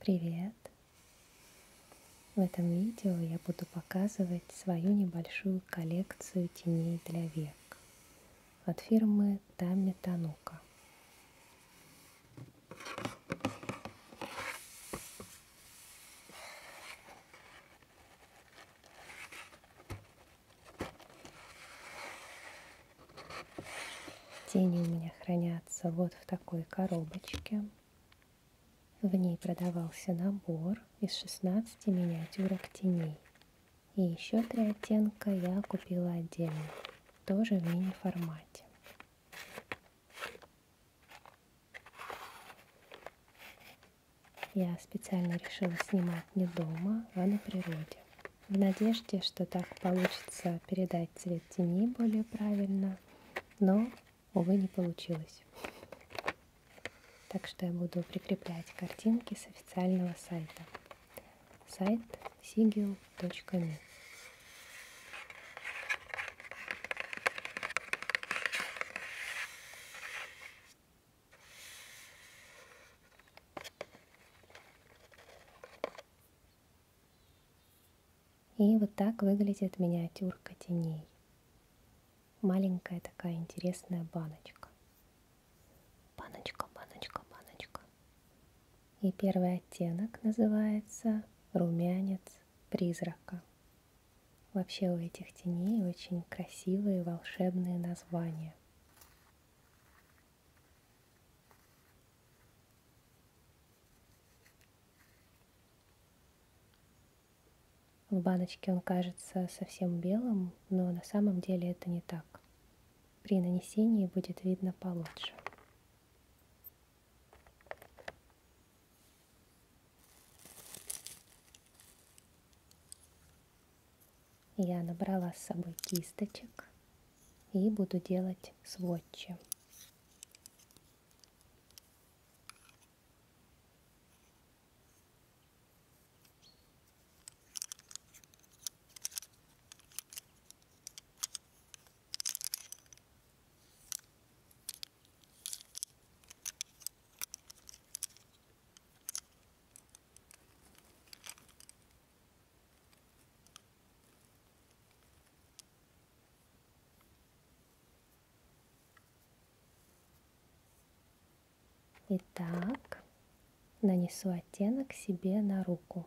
Привет! В этом видео я буду показывать свою небольшую коллекцию теней для век от фирмы Тами Танука. Тени у меня хранятся вот в такой коробочке. В ней продавался набор из 16 миниатюрок теней. И еще три оттенка я купила отдельно, тоже в мини-формате. Я специально решила снимать не дома, а на природе. В надежде, что так получится передать цвет тени более правильно, но, увы, не получилось. Так что я буду прикреплять картинки с официального сайта. Сайт sigil.me и вот так выглядит миниатюрка теней. Маленькая такая интересная баночка. Баночка, баночка, баночка. И первый оттенок называется румянец призрака. Вообще у этих теней очень красивые волшебные названия. В баночке он кажется совсем белым, но на самом деле это не так. При нанесении будет видно получше. Я набрала с собой кисточек и буду делать сводчи. Итак, нанесу оттенок себе на руку.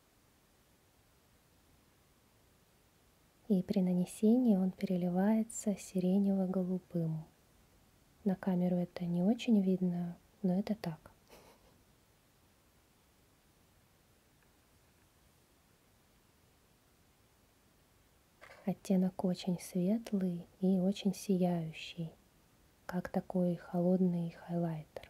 И при нанесении он переливается сиренево-голубым. На камеру это не очень видно, но это так. Оттенок очень светлый и очень сияющий, как такой холодный хайлайтер.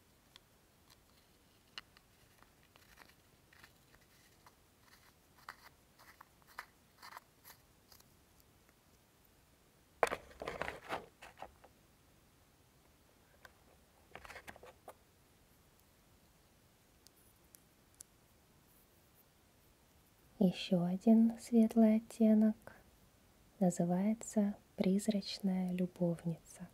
Еще один светлый оттенок называется призрачная любовница.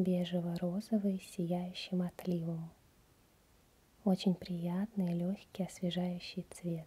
бежево-розовый с сияющим отливом. Очень приятный, легкий, освежающий цвет.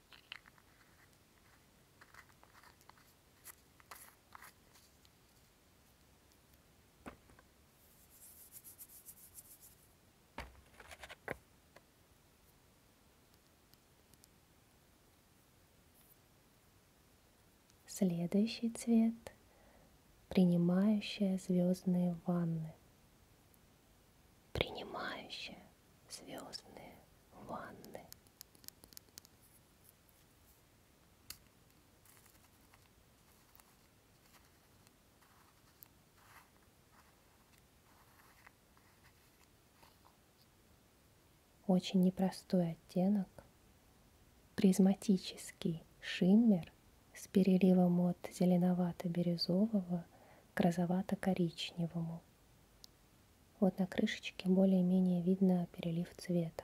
Следующий цвет – принимающая звездные ванны принимающая звездные ванны. Очень непростой оттенок, призматический шиммер с переливом от зеленовато-бирюзового к розовато-коричневому. Вот на крышечке более-менее видно перелив цвета.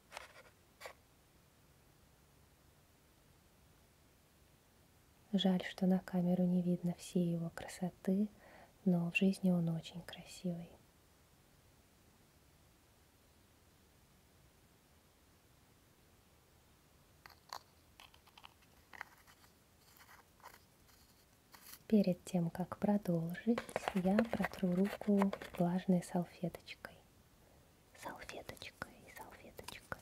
Жаль, что на камеру не видно всей его красоты, но в жизни он очень красивый. Перед тем, как продолжить, я протру руку влажной салфеточкой салфеточкой и салфеточкой.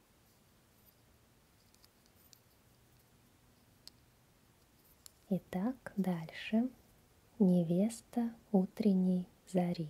Итак, дальше. Невеста утренней зари.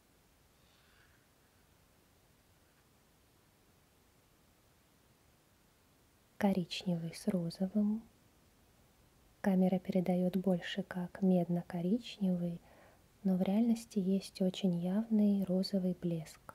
коричневый с розовым. Камера передает больше как медно-коричневый, но в реальности есть очень явный розовый блеск.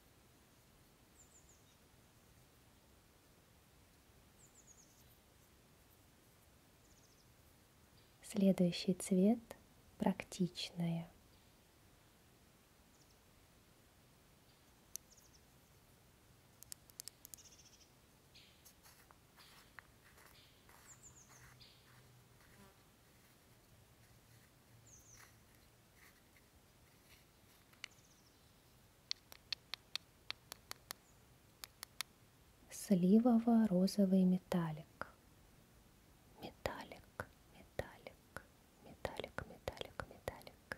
Следующий цвет – практичная. Сливово-розовый металлик. Металлик, металлик, металлик, металлик, металлик.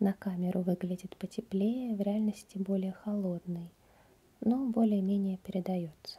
На камеру выглядит потеплее, в реальности более холодный, но более-менее передается.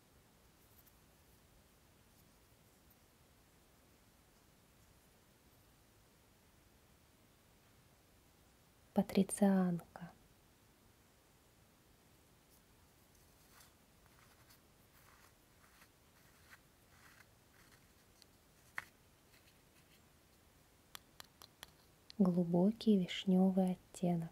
Патрицианка. Глубокий вишневый оттенок.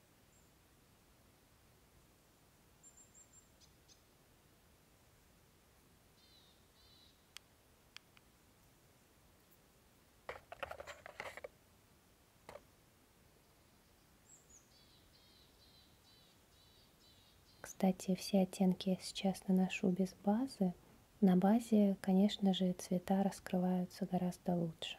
Кстати, все оттенки я сейчас наношу без базы. На базе, конечно же, цвета раскрываются гораздо лучше.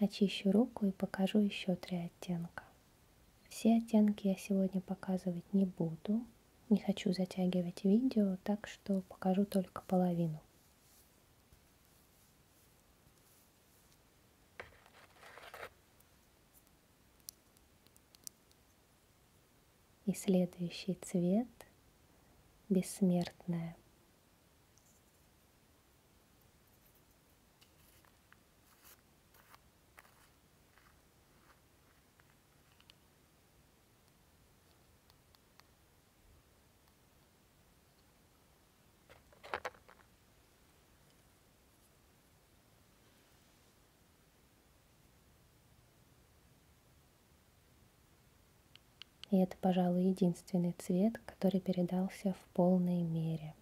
Очищу руку и покажу еще три оттенка. Все оттенки я сегодня показывать не буду, не хочу затягивать видео, так что покажу только половину. И следующий цвет – бессмертная. И это, пожалуй, единственный цвет, который передался в полной мере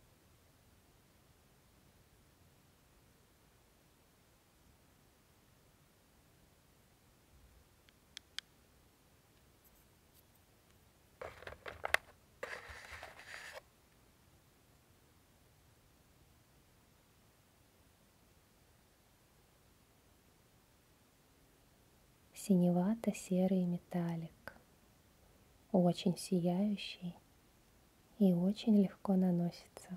синевато-серый металлик, очень сияющий и очень легко наносится.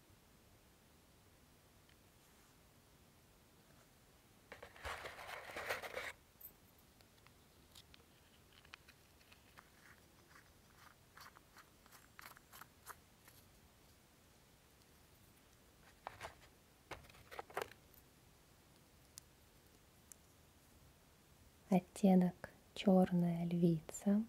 оттенок черная львица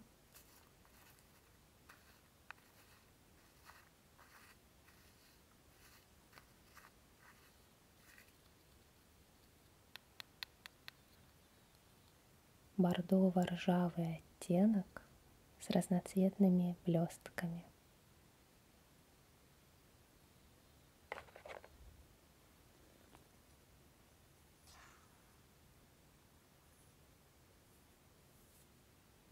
бордово-ржавый оттенок с разноцветными блестками.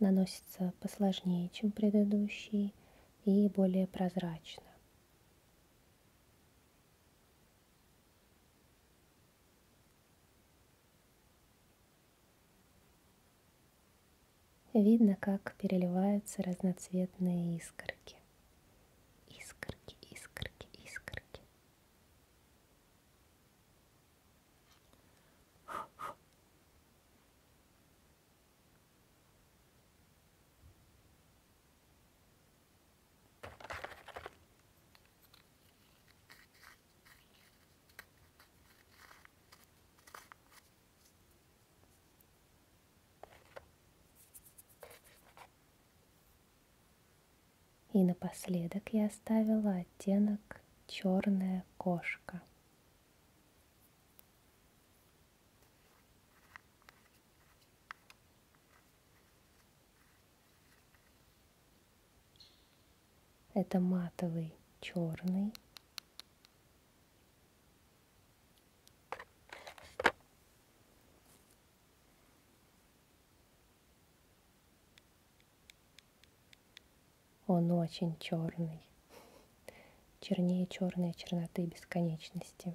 наносится посложнее, чем предыдущий и более прозрачно. Видно, как переливаются разноцветные искорки. Искорки, искорки, искорки. И напоследок я оставила оттенок черная кошка. Это матовый черный. Он очень черный, чернее черной черноты бесконечности.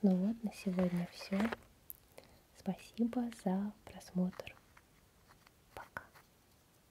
Ну вот, на сегодня все. Спасибо за просмотр. Пока.